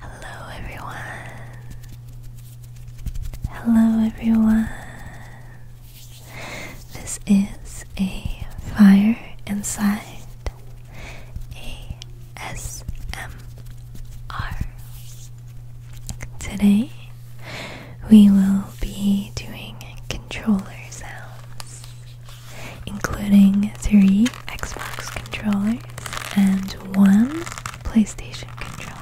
Hello everyone. Hello everyone. This is a fire inside ASMR. Today we will be doing controller sounds, including three Xbox controllers and one PlayStation controller.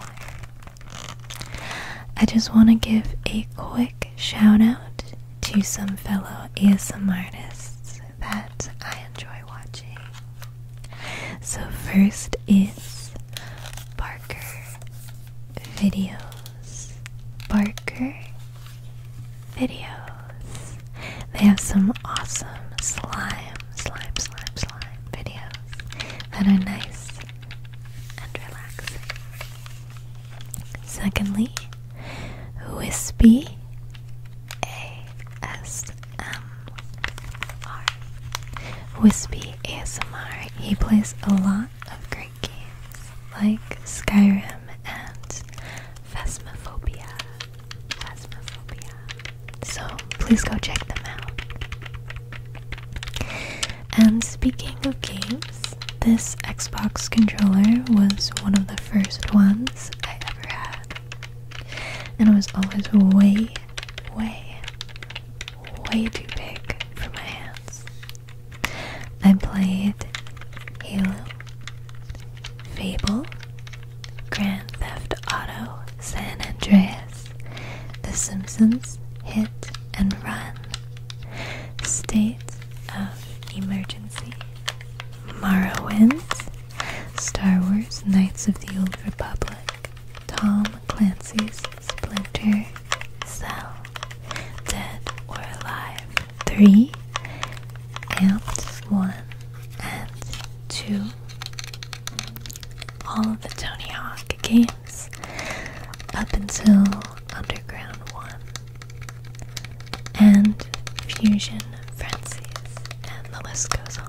I just want to give a quick shout out to some fellow ASM artists that I enjoy watching. So, first is Barker Videos. Barker video. They have some awesome slime, slime, slime, slime videos that are nice and relaxed. Secondly, Wispy ASMR. Wispy ASMR. He plays a lot of great games like Skyrim and Phasmophobia. So please go check them out. And speaking of games, this Xbox controller was one of the first ones I ever had. And it was always way, way, way too big for my hands. I played Halo Fable, Grand Theft Auto, San Andreas, The Simpsons, Hit and Run, State of Emergency, Morrowind, Star Wars, Knights of the Old Republic, Tom Clancy's Splinter Cell, Dead or Alive, three and one and two. All of the Tony Hawk games up until Underground One and Fusion Frenzies, and the list goes on.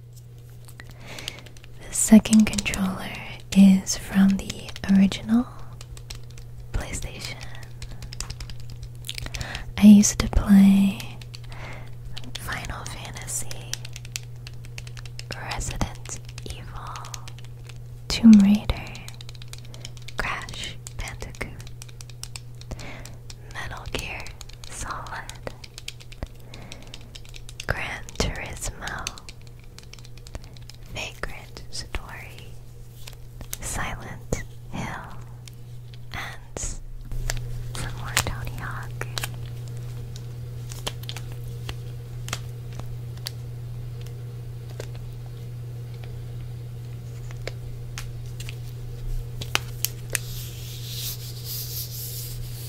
The second controller is from the original PlayStation. I used to play Final Fantasy, Resident Evil, Tomb Raider, Crash Bandicoot, Metal Gear Solid, Gran Turismo, Vagrant Story, Silent Hill, and some more Tony Hawk.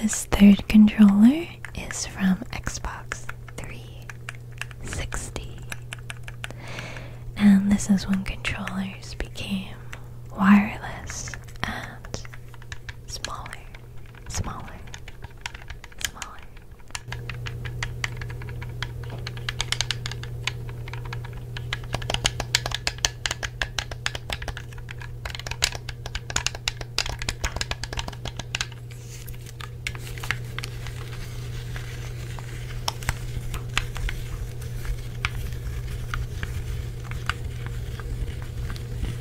This third controller is from Xbox 360. And this is when controllers became wireless and smaller smaller, smaller.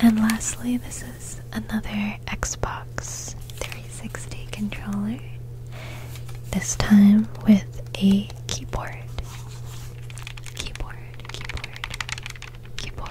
And lastly, this is another Xbox 360 controller, this time with a keyboard. Keyboard, keyboard, keyboard.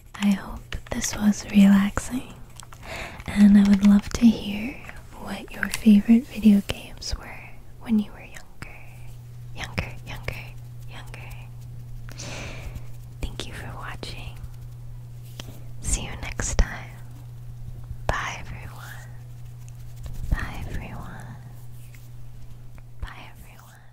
I hope this was relaxing, and I would love to hear what your favorite video games were when you were younger. Younger, younger, younger. Thank you for watching. See you next time. Bye, everyone. Bye, everyone. Bye, everyone.